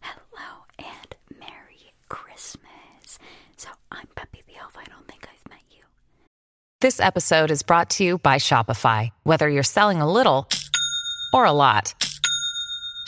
Hello and Merry Christmas. So, I'm Peppy the I don't think I've met you. This episode is brought to you by Shopify. Whether you're selling a little or a lot,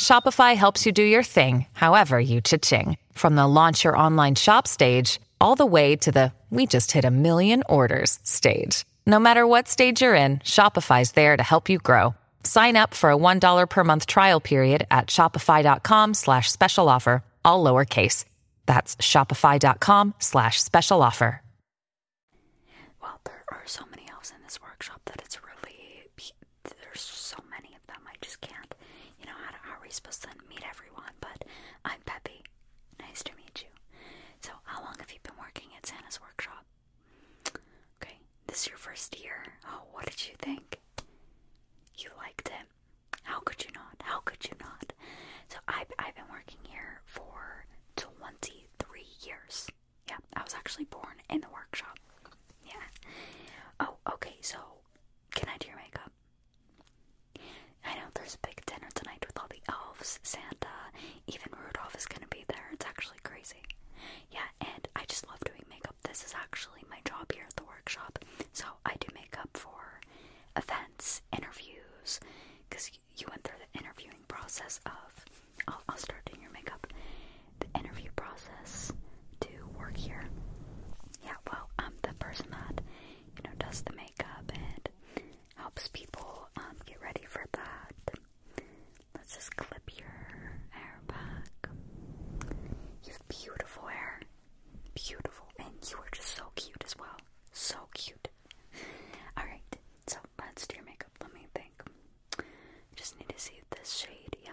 Shopify helps you do your thing, however you cha-ching. From the launch your online shop stage all the way to the we just hit a million orders stage. No matter what stage you're in, Shopify's there to help you grow. Sign up for a $1 per month trial period at shopify.com slash special offer, all lowercase. That's shopify.com slash special offer. Well, there are so many elves in this workshop that it's really, there's so many of them. I just can't, you know, how are we supposed to meet everyone? But I'm Peppy. Nice to meet you. So, how long have you been working at Santa's workshop? Okay, this is your first year. Oh, what did you think? You liked it. How could you not? How could you not? So, I've, I've been working here for 23 years. Yeah, I was actually born in the workshop. Yeah. Oh, okay, so can I do your makeup? I know there's a big dinner tonight with all the elves, Santa, even Rudolph is gonna be there. It's actually crazy. Yeah, and I just love doing makeup. This is actually my job here at the workshop. So I do makeup for events, interviews, because you went through the interviewing process of. I'll, start doing your makeup. The interview process to work here. Yeah, well, I'm the person that you know, does the makeup and helps people um, get ready for that. Let's just clip your hair back. You have beautiful hair. Beautiful. And you are just so cute as well. So cute. Alright, so let's do your makeup. Let me think. Just need to see this shade. Yeah.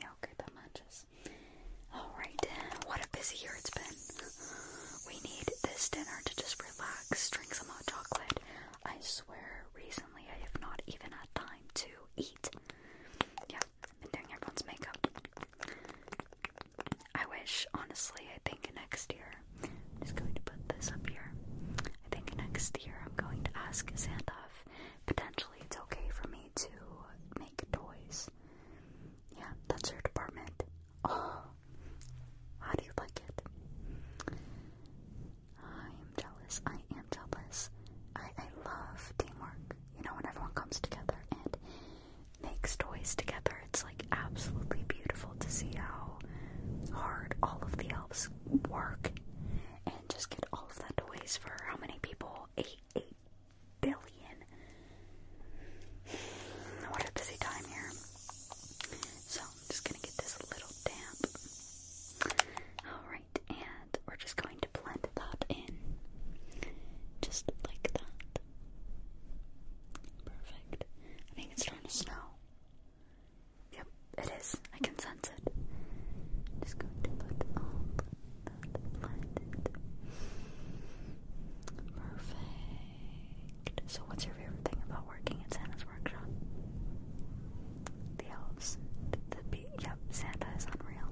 Yeah, okay, that matches. Alright, what a busy year it's been. We need this dinner to just relax, drink some hot chocolate. I swear, recently I have not even had time to eat. Yeah, I've been doing everyone's makeup. I wish, honestly, I think next year, I'm just going to put this up here. I think next year I'm going to ask Santa potentially it's okay for me to make toys yeah, that's her department. Oh, how do you like it? I am jealous. I am jealous. I, I love teamwork. You know, when everyone comes together and makes toys together, it's like absolutely beautiful to see how hard all of the elves work and just get all of that toys for how many people? Eight, eight, billion. What a busy time here. So I'm just gonna get this a little damp. Alright, and we're just going to blend that in. Just like that. Perfect. I think it's starting to snow. Yep, it is. I can sense it. Just going to put all Perfect. So, what's your favorite thing about working at Santa's workshop? The elves. The Yep, Santa is unreal.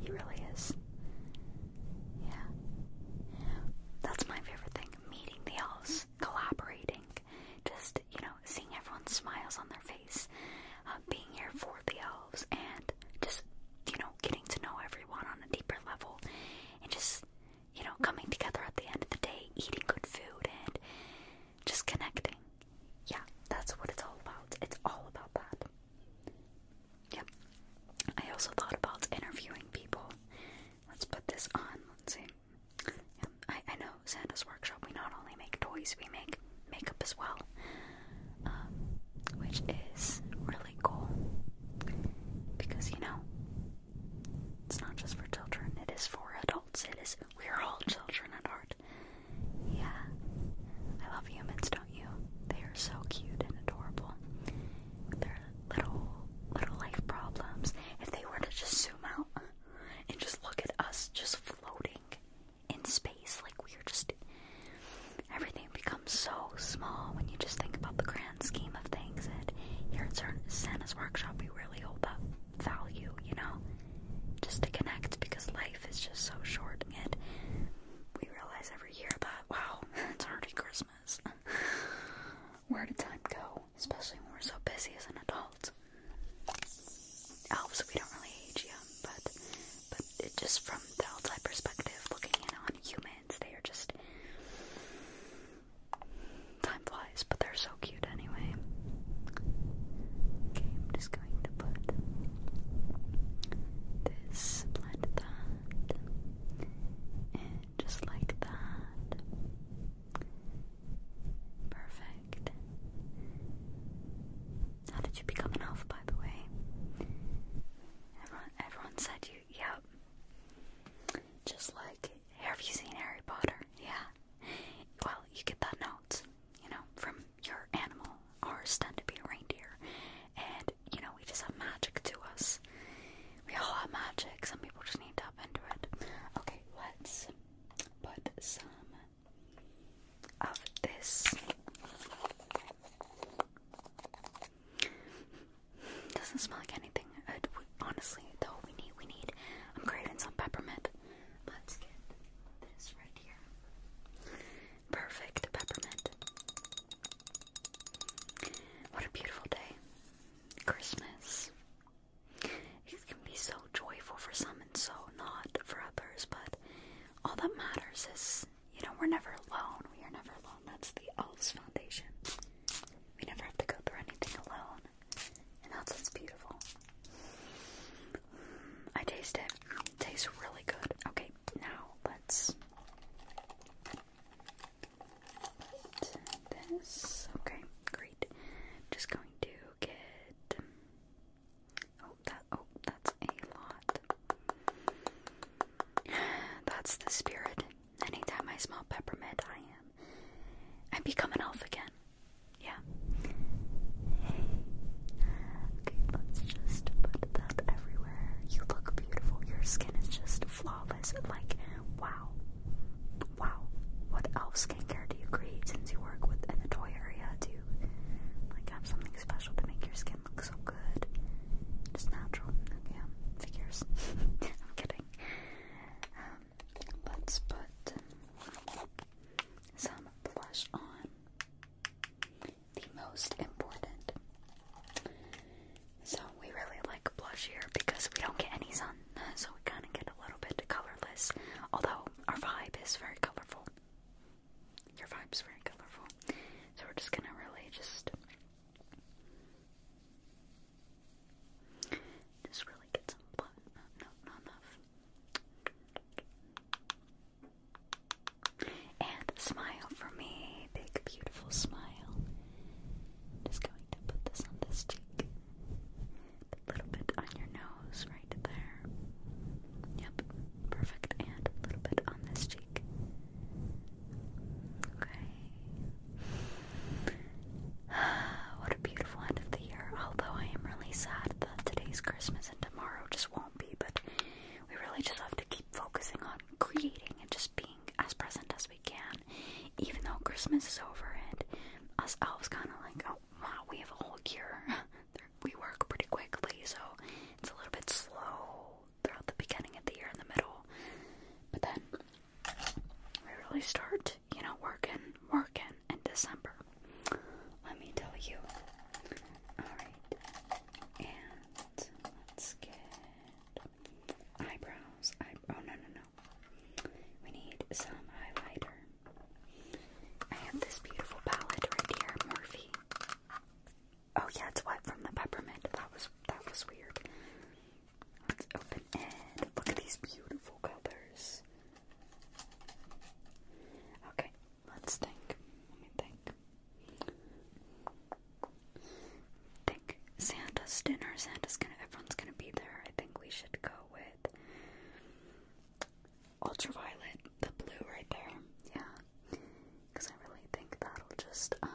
He really is. Yeah. That's my favorite thing meeting the elves, collaborating, just, you know, seeing everyone's smiles on their face, uh, being here for the elves, and and just, you know, getting to know everyone on a deeper level and just, you know, coming together at the end of the day, eating good food and just connecting. Yeah, that's what it's all about. It's all about that. Yep. I also thought about interviewing people. Let's put this on. Let's see. Yep. I, I know Santa's Workshop, we not only make toys, we make makeup as well, um, which is really cool because you know it's not just for children; it is for adults. It is we are all children at heart. Yeah, I love humans, don't you? They are so cute and adorable. they little little life problems. If they were to just zoom out and just look at us, just floating in space. Like we are just everything becomes so small when you just think about the grand scheme of things. And here at Santa's workshop, we really hold that value, you know, just to connect because life is just so short, and we realize every year that wow, it's already Christmas. Where did time go? Especially when we're so busy as an adult. Elves, we don't really age, yeah but but just from the outside perspective, looking in on humans, they are just time flies, but they're so cute anyway. Okay, I'm just going to put this that and just like that. Perfect. How did you become an elf, by the way? Everyone, said you, yep. Just like, have you seen Harry Potter? Yeah. Well, you get that note, you know, from your animal. Ours tend to be a reindeer. And, you know, we just have magic to us. We all have magic. Some people just need to tap into it. Okay, let's put some of this. Doesn't smell like anything. Uh, honestly, though, we need we need. I'm um, craving some peppermint. Let's get this right here. Perfect peppermint. What a beautiful day. Christmas. can be so joyful for some and so not for others, but all that matters is, you know, we're never alone. We are never alone. That's the Elves Foundation. We never have to go through anything alone, and that's what's beautiful. I taste it. it tastes really good. Okay, now let's put this. Okay, great. Just going to get Oh, that oh, that's a lot. That's the spirit. Anytime I smell peppermint, I am. I become an elf again. Yeah. Okay, let's just put that everywhere. You look beautiful. Your skin is just flawless. Like, wow. Wow. What elf skincare do you create since you work with the toy area? Do like have something special to make your skin look so good. Just natural. Yeah, um, figures. I'm kidding. Um, let's put some blush on. The most important. So we really like blush here because we don't get any sun, so we kind of get a little bit colorless. Although our vibe is very colorful. Your vibe's very colorful. So we're just gonna really just just really get some blood. No, not enough. And smile for me. Big beautiful smile. Just going to put this on this cheek a little bit on your nose right there. Yep, perfect. And a little bit on this cheek. Okay. what a beautiful end of the year. Although I am really sad that today's Christmas and tomorrow just won't be, but we really just have to keep focusing on creating and just being as present as we can. Even though Christmas is over and us elves kind of like, oh we have a whole year we work pretty quickly, so it's a little bit slow throughout the beginning of the year and the middle. But then we really start, you know, working, working in December. Let me tell you. Alright. And let's get eyebrows. Eye oh no no no. We need some highlighter. I have this beautiful palette right here, Morphe. Oh yeah, it's wet from the peppermint. That was that was weird. Let's open it. Look at these beautiful colors. Okay, let's think. Let me think. Think Santa's dinner. Santa's gonna. Everyone's gonna be there. I think we should go with ultraviolet, the blue right there. Yeah, because I really think that'll just um,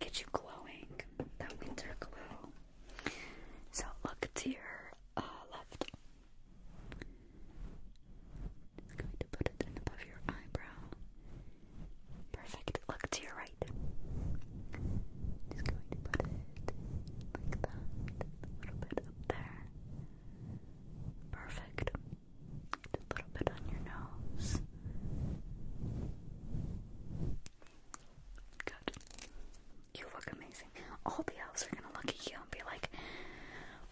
get you glowing, that winter glow. So look to your uh, left. i going to put it in above your eyebrow. Perfect. Look to your right. Just going to put it like that a little bit there. Perfect. a little bit on your nose. Good. You look amazing. All the elves are gonna look at you and be like,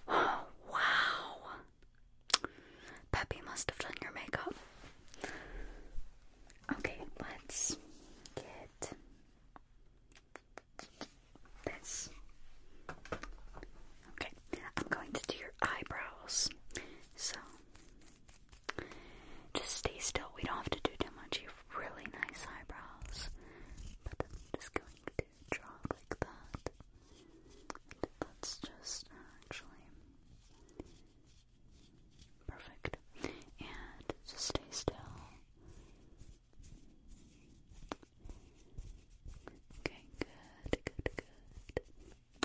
oh, wow. Peppy must have done your makeup. Okay, let's get this. Okay, I'm going to do your eyebrows. So, just stay still. We don't have to do too much. You really nice eyebrows. But I'm just going to draw like that. And that's just actually. Perfect. And just stay still. Okay, good, good, good.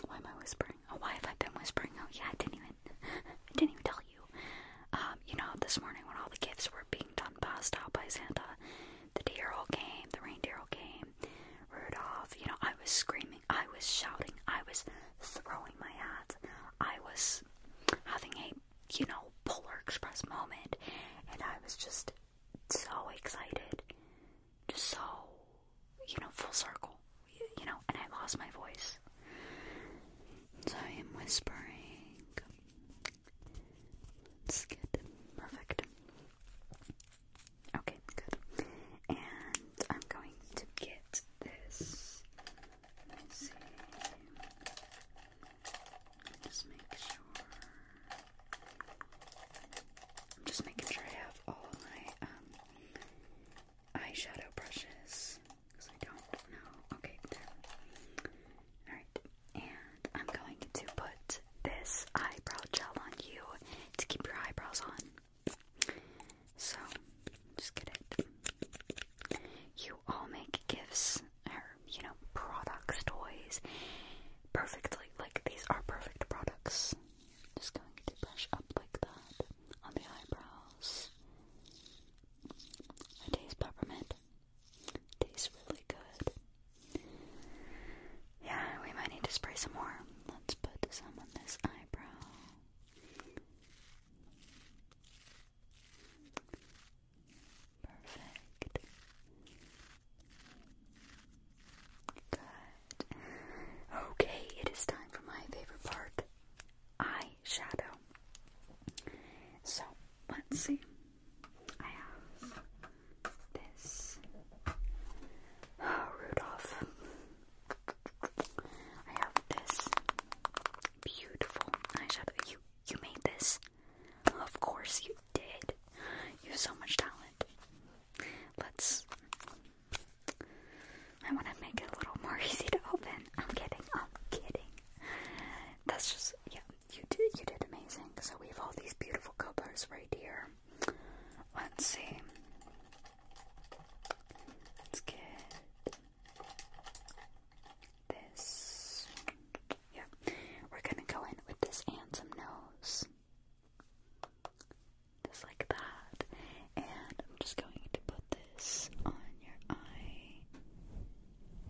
Why am I whispering? Oh, why have I been whispering? Oh, yeah, I didn't even, didn't even tell you. Um, you know, this morning when all the gifts were being done passed out by Santa, the deer all came, the reindeer all came, Rudolph. You know, I was screaming, I was shouting, I was throwing my hat, I was having a you know, Polar Express moment. And I was just so excited. Just so, you know, full circle. You know, and I lost my voice. So I am whispering. Let's perfect. Okay, good. And I'm going to get this Let's see. Just make sure. just making sure I have all my um, eyeshadow brushes because I don't know. Okay, there. All right, and I'm going to put this eyebrow gel on you to keep your eyebrows on. So, just get it. You all make gifts, or, you know, products, toys, perfectly. Like, these are perfect products. Just going to brush up like that on the eyebrows. I taste peppermint. Tastes really good. Yeah, we might need to spray some more. Let's put some on this eyebrow. Perfect. Good. Okay, it is time for my favorite part eyeshadow. So, let's see. I have this. Oh, Rudolph. I have this beautiful eyeshadow. You you made this? Of course you did. You have so much talent. Let's I wanna make it a little more easy to open. I'm kidding, I'm kidding. That's just yeah, you did you did amazing. So we have all these beautiful cobras right here. Let's see. Let's get this. Yeah, we're gonna go in with this and nose. Just like that. And I'm just going to put this on your eye.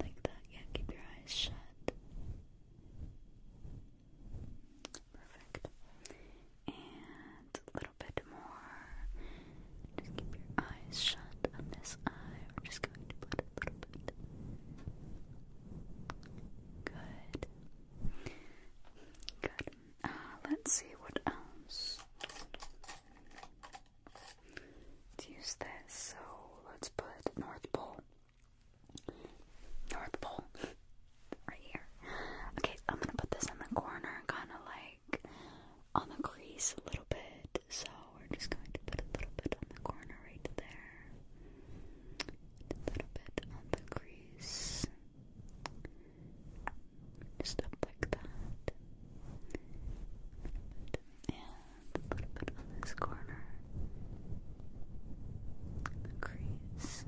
Like that. Yeah, keep your eyes shut. Perfect. And little little bit more. Just keep your eyes shut on this eye. We're just going to put a little bit. Good. Good. Uh, let's see what else. To use this, so let's put North Pole. North Pole. right here. Okay, I'm gonna put this in the corner, kinda like on the crease a little bit, so we're just going to put a little bit on the corner right there, a bit on the crease, just like that, and a bit on this corner, the crease.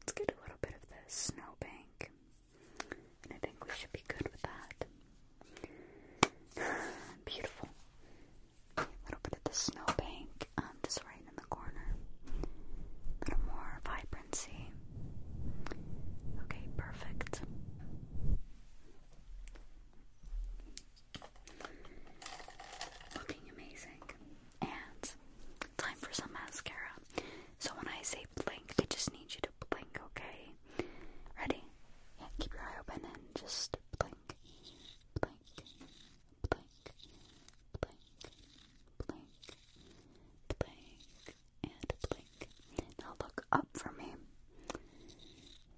Let's get a little bit of the snowbank. And I think we should be good with that. Beautiful. A little bit of the snowbank, um, just right in the corner. A little more vibrancy. Okay, perfect. Looking amazing. And time for some mascara. So when I say blink, I just need you to blink, okay? Ready? keep your eye open and just blink. Blink. Blink. Blink. Blink. Blink. And blink. Now look up for me.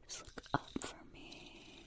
Just look up for me.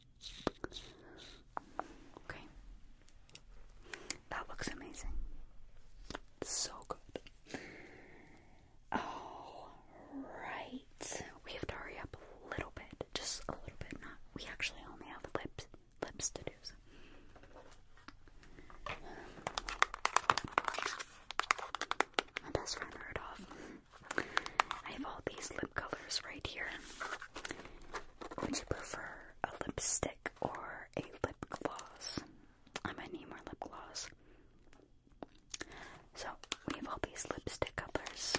Okay. That looks amazing. So good. All right. We have to hurry up a little bit. Just a little bit. Not. We actually only have lips lips to do. So. My best friend heard I have all these lip colors right here. Would you prefer a lipstick or a lip gloss? I might need more lip gloss. So, we have all these lipstick colors.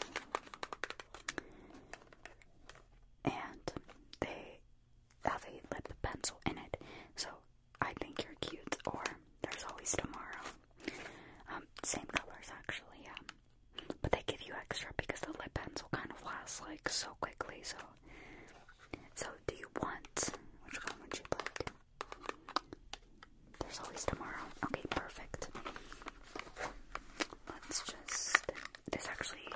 And they have a lip pencil in it. So, I think you're cute, or there's always tomorrow. Um, same colors, actually, yeah. But they give you extra because the lip pencil kind of lasts like so quickly. So, so do you want which one would you like? There's always tomorrow. Okay, perfect. Let's just. This actually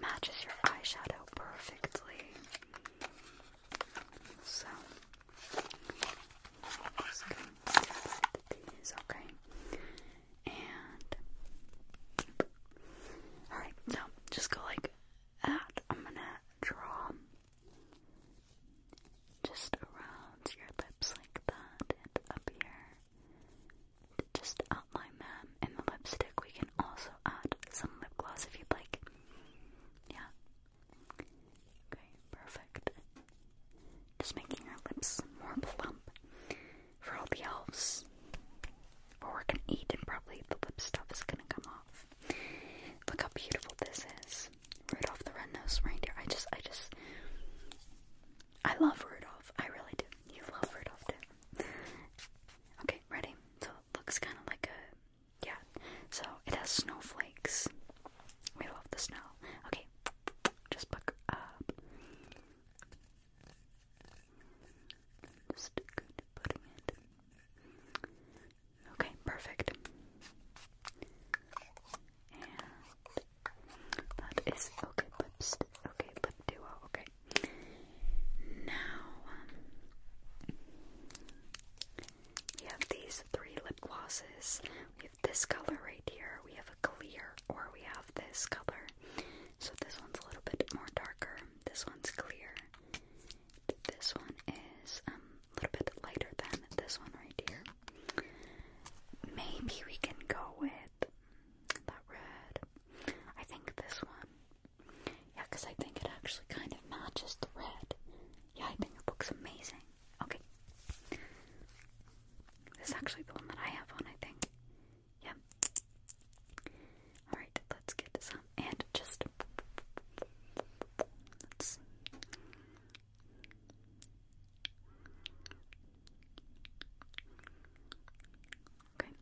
matches your eyeshadow perfectly. So okay? And alright, so just go like that. I'm gonna draw just around your lips like that and up here. Just outline them in the lipstick. We can also add some lip gloss if you'd like. Yeah, Okay, perfect. Just making our lips more plump for all the elves. But we're gonna eat and probably the lip stuff is gonna come off. Look how beautiful this is. Rudolph the Red-Nosed Reindeer. I just, I just, I love Rudolph. I really do. You love Rudolph too. Okay, ready? So it looks kind of like a, yeah. So it has snowflakes we love the snow. Okay, just buck up. Okay, perfect. that is okay. Lipstick. Okay, lip duo. Okay. Now um, we have these three lip glosses this color right here, we have a clear, or we have this color. So this one's a little bit more darker, this one's clear. This one is um, a little bit lighter than this one right here. Maybe we can go with that red. I think this one. Yeah, because I think it actually kind of matches the red. Yeah, I think it looks amazing. Okay. This is actually the one that I have on, I think. Yep. Alright, let's get some. And just. Okay.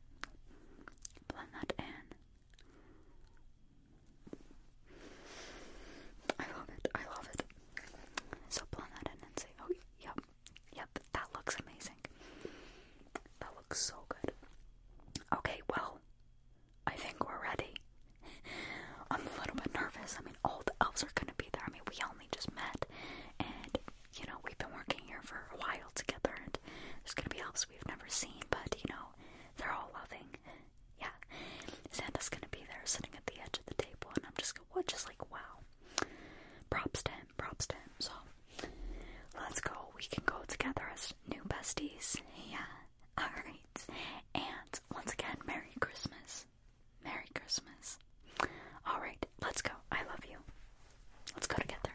Blend that in. I love it. I love it. So blend that in and say, oh, yep, yep, that looks amazing. That looks so good. Okay, well, I think we're ready. I'm a little bit nervous. I mean, all the elves are gonna be there. I mean, we only just met, and you know, we've been working here for a while together, and there's gonna be elves we've never seen, but you know, they're all loving yeah, Santa's gonna be there sitting at the edge of the table, and I'm just gonna, well, just like, wow. Props to him, props to him. So, let's go. We can go together as new besties. Yeah, alright. And once again, Merry Christmas. Merry Christmas. Alright, let's go. I love you. Let's go together.